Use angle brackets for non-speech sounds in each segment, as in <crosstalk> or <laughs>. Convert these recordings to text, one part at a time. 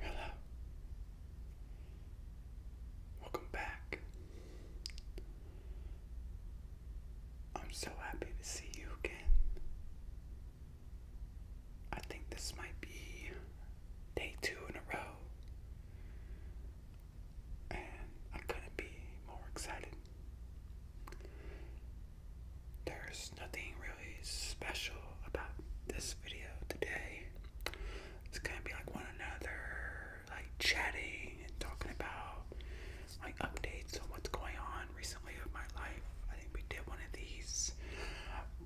Hello. Welcome back. I'm so happy to see you again. I think this might be day two in a row. And I couldn't be more excited. There's nothing special about this video today. It's gonna be like one another, like chatting and talking about like updates on what's going on recently of my life. I think we did one of these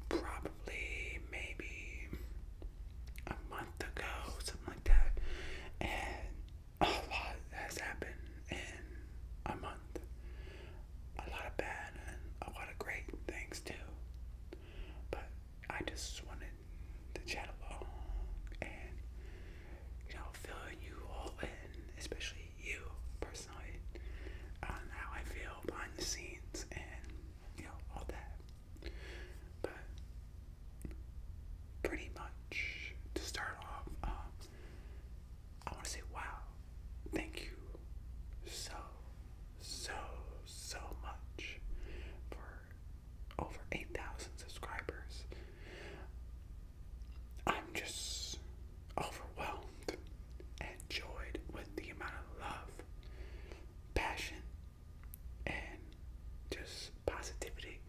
probably maybe a month ago, something like that. And a lot has happened in a month a lot of bad and a lot of great things too. But I just wanted to chat along and you know fill you all in, especially you personally, on how I feel behind the scenes and you know all that. But pretty much to start off, um, I want to say, wow, thank you so, so, so much for over 8,000 subscribers. I'm just overwhelmed and joyed with the amount of love, passion, and just positivity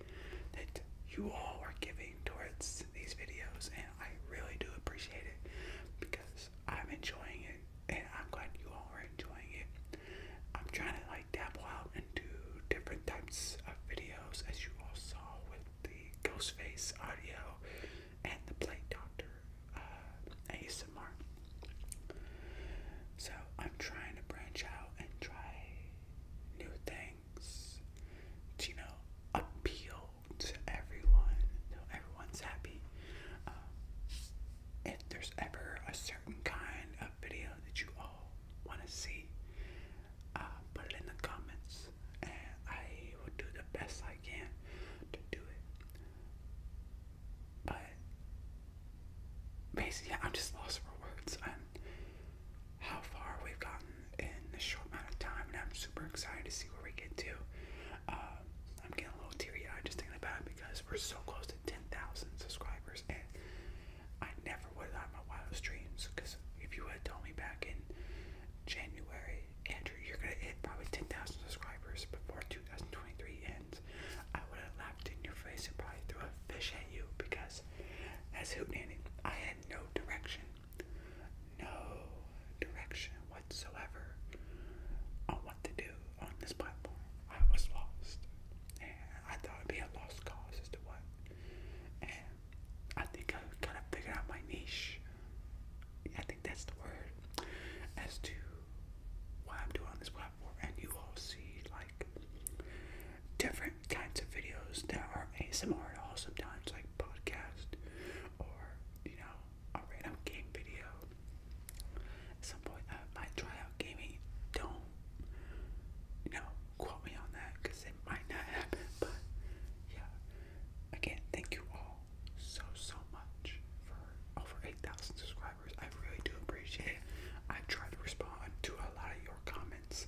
that you all are giving towards these videos and I really do appreciate it because I'm enjoying it and I'm glad you all are enjoying it. I'm trying to like dabble out into different types of videos as you all saw with the Ghostface audio and the Play Doctor uh, ASMR. So I'm trying to branch out and try new things to, you know, appeal to everyone till everyone's happy. Uh, if there's ever a certain kind of video that you all want to see, uh, put it in the comments, and I will do the best I can to do it. But basically, yeah, I'm just lost for words how far we've gotten in a short amount of time, and I'm super excited to see where we get to. Um, I'm getting a little teary-eyed just thinking about because we're so close to 10,000 subscribers, and I never would have had my wildest dreams. Because if you had told me back in January, Andrew, you're gonna hit probably 10,000 subscribers before 2023 ends, I would have laughed in your face and probably threw a fish at you because, as Hootenanny, I had no direction no direction whatsoever on what to do on this platform. I was lost. And I thought it'd be a lost cause as to what. And I think I kind of figured out my niche. I think that's the word. As to what I'm doing on this platform. And you all see like different kinds of videos that are ASMR and also times like podcast or you know, a random game video. At some point, I might try out gaming. Don't, you know, quote me on that because it might not happen. <laughs> But yeah, again, thank you all so so much for over 8,000 subscribers. I really do appreciate it. I try to respond to a lot of your comments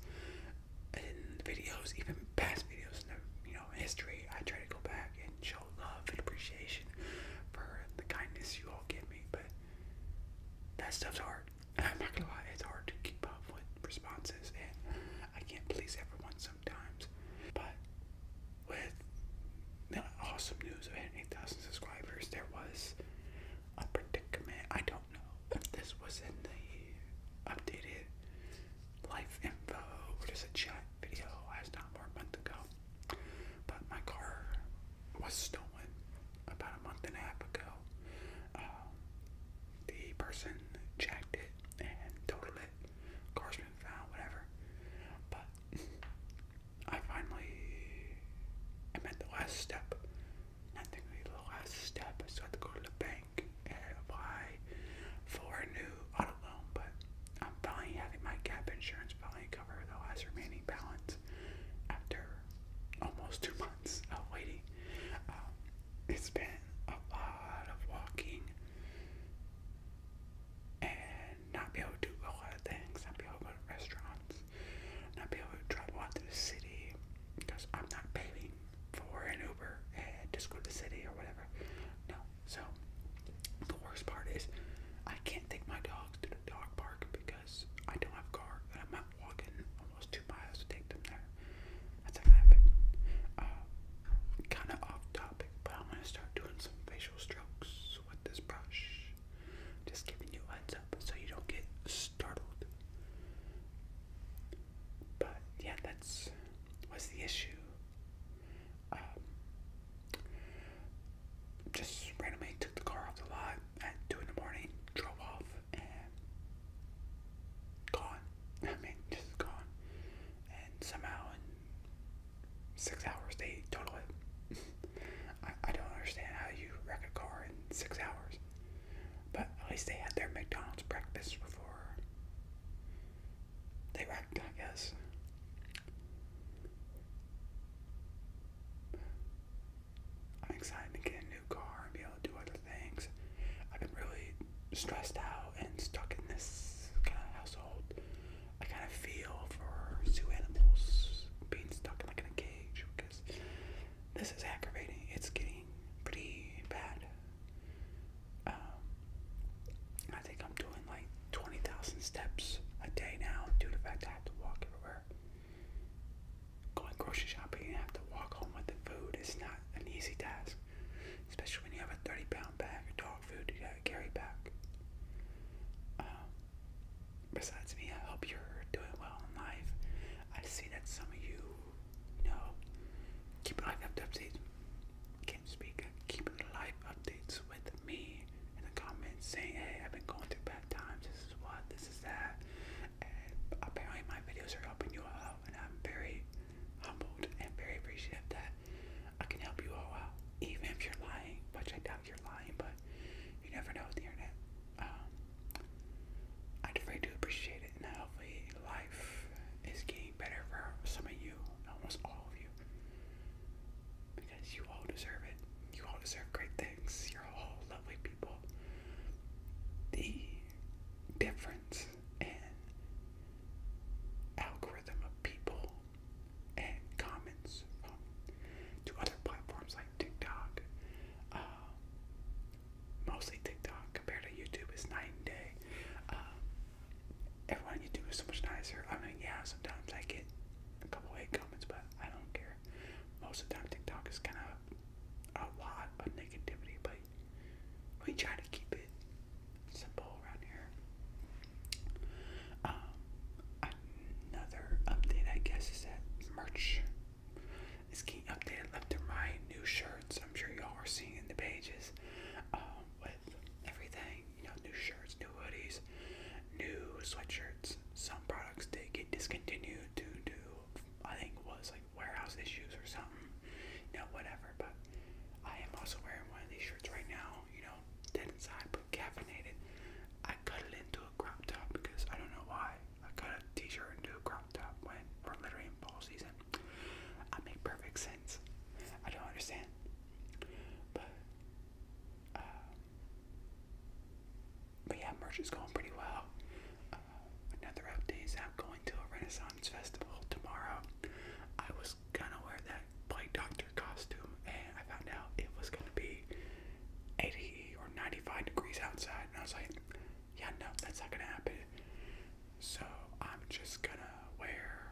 in videos, even past videos in the you know history, I try to go back and show love and appreciation for the kindness you all give me. But that stuff's hard. <laughs> I'm not gonna lie, it's hard to keep up with responses, and I can't please everyone sometimes. But with the awesome news of hitting 8,000 subscribers, there was a predicament. I don't know if this was in the updated life info, what is a chat video I was time or a month ago. But my car was stolen about a month and a half ago. Um, the person jacked it and totaled it. Car's been found, whatever. But I finally am at the last step. I think the last step, so I have to go to the bank apply for a new auto loan, but I'm finally having my gap insurance finally cover the last remaining balance after almost two months of waiting. Um, it's been a lot of walking and not be able to do a lot of things, not be able to go to restaurants, not be able to travel out to the city because I'm not paying for an Uber and just go to the city or whatever. No. So the worst part is I can't take my dogs to the dog park because I don't have a car and I'm walking almost two miles to take them there. That's gonna happen. Uh, kinda off topic, but I'm gonna start doing some facial strokes with this brush. Just giving you heads up so you don't get startled. But yeah, that's was the issue. Um, just randomly took the car off the lot at two in the morning, drove off, and gone. <laughs> I mean, just gone. And somehow in six hours they total it. <laughs> I, I don't understand how you wreck a car in six hours. But at least they had their McDonald's breakfast before they wrecked, I guess. I'm excited to get a new car and be able to do other things. I've been really stressed out and stuck in this kind of household. I kind of feel for zoo animals being stuck in like a cage because this is aggravating. It's getting pretty bad. Um, I think I'm doing like 20,000 steps a day now due to the fact I have to walk everywhere. Going grocery shopping and have to walk home with the food is not an easy task, especially when you have a 30 pound bag of dog food to carry back. Um, besides me, I hope you're doing well in life. I see that some of you no. Keep live updates. Can't speak. Keep live updates with me in the comments saying, hey, I've been going through bad times. This is what, this is that. And apparently my videos are helping you out and I'm very humbled and very appreciative that I can help you all out. Even if you're lying, which I doubt you're lying, but you never know with the internet. Um, I am afraid to appreciate it, and hopefully life is getting better for some of you, almost all of you, because you all deserve it. You all deserve great things. You're all lovely people. The difference in algorithm of people and comments to other platforms like TikTok, um, mostly TikTok compared to YouTube is night and day. Um, everyone YouTube is so much nicer. I mean, yeah, sometimes I get a couple hate comments, but I don't care. Most of time, TikTok is kind of a lot of negativity, but we try to keep it simple around here. Um, another update, I guess, is that merch it's getting updated left and right. New shirts. I'm sure y'all are seeing in the pages um, with everything. You know, new shirts, new hoodies, new sweatshirts. Some products did get discontinued due to I think was like warehouse issues or something. You whatever. But I am also wearing one of these shirts right now. You know, dead inside but caffeinated. I cut it into a crop top because I don't know why. I got a t-shirt and do a crop top when we're literally season. I make perfect sense. I don't understand. But, uh, but yeah, merch is going pretty well. Uh, another update is I'm going to a Renaissance festival tomorrow. I was gonna wear that Plague Doctor costume, and I found out it was gonna be 80 or 95 degrees outside, and I was like, yeah, no, that's not gonna happen. So I'm just gonna wear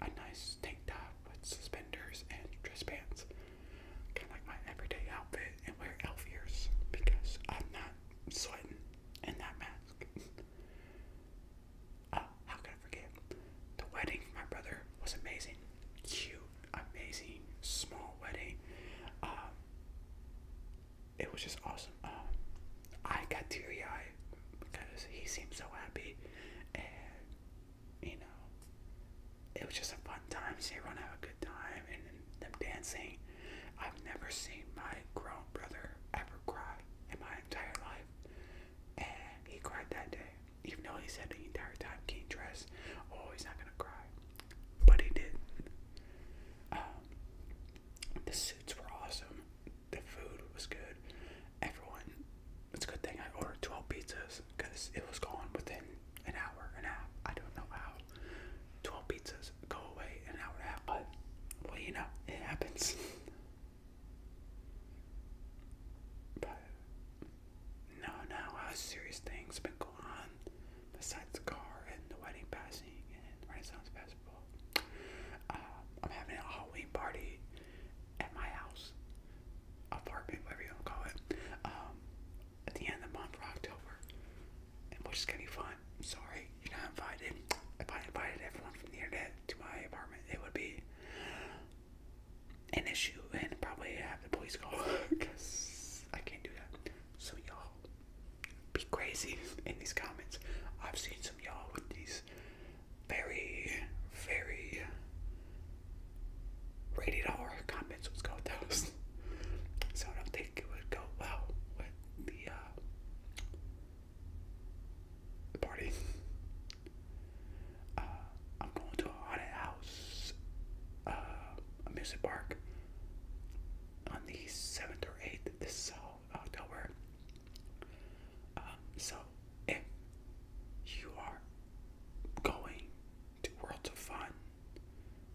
a nice tank top with suspenders and dress pants, kind of like my everyday outfit, and wear elf ears because I'm not sweating in that mask. <laughs> oh, how could I forget? The wedding for my brother was amazing, cute, amazing, small wedding. Um, it was just awesome. Um, I got teary eyed because he seemed so happy, and you know, it was just a fun time. See everyone had a good time, and them dancing. I've never seen my grown brother ever cry in my entire life, and he cried that day, even though he said the entire time, "King dress, oh, he's not gonna cry." but he did um, the suits were awesome. The food was good. Everyone, it's a good thing I ordered 12 pizzas because it was gone within an hour and a half. I don't know how 12 pizzas go away in hour and a half, but well, you know, it happens. but no, no, serious things been going on the the car and the wedding passing and Renaissance Festival, um, I'm having a Halloween party at my house, apartment, whatever you want to call it, um, at the end of the month for October, and which is gonna be fun. sorry, you're not invited. If I invited everyone from the internet to my apartment, it would be an issue and probably have the police call because <laughs> I can't do that. So y'all be crazy in these comments. I've seen some y'all with these very, very rated comments. Let's go with those. so I don't think it would go well with the uh, party. Uh, I'm going to a haunted house, uh, amusement park, on the 7th or 8th of this uh, October. Um, so if you are going to Worlds of Fun,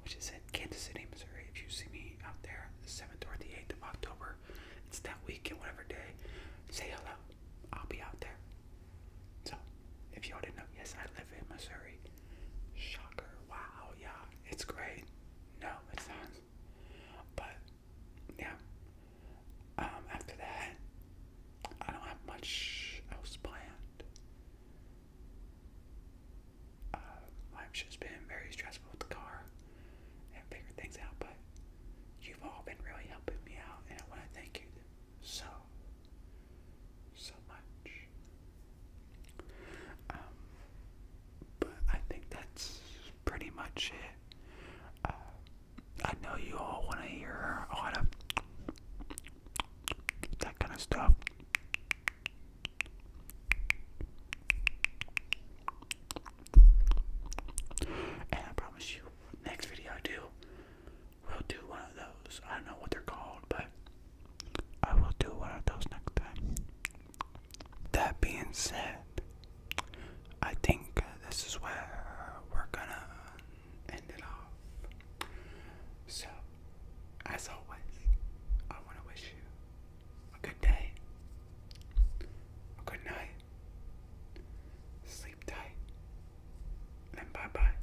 which is in Kansas City, Missouri, if you see me out there the 7th or the 8th of October, it's that weekend, whatever day, say hello. I'll be out there. So, if y'all didn't know, yes, I live in Missouri. Shocker. Wow, yeah, it's great. No, it's sounds. But, yeah. Um, after that, I don't have much else planned. Uh, life's just been very stressful with the car and figuring things out, but you've all been really helping me out, and I want to thank you so so much. Um, but I think that's pretty much it. Uh, I know you all want to hear a of that kind of stuff. And I promise you, next video I do, We'll do one of those. I don't know what they're called, but I will do one of those next time. That being said, I think uh, this is where we're gonna end it off. So, as always, I want to wish you a good day, a good night, sleep tight, and bye bye.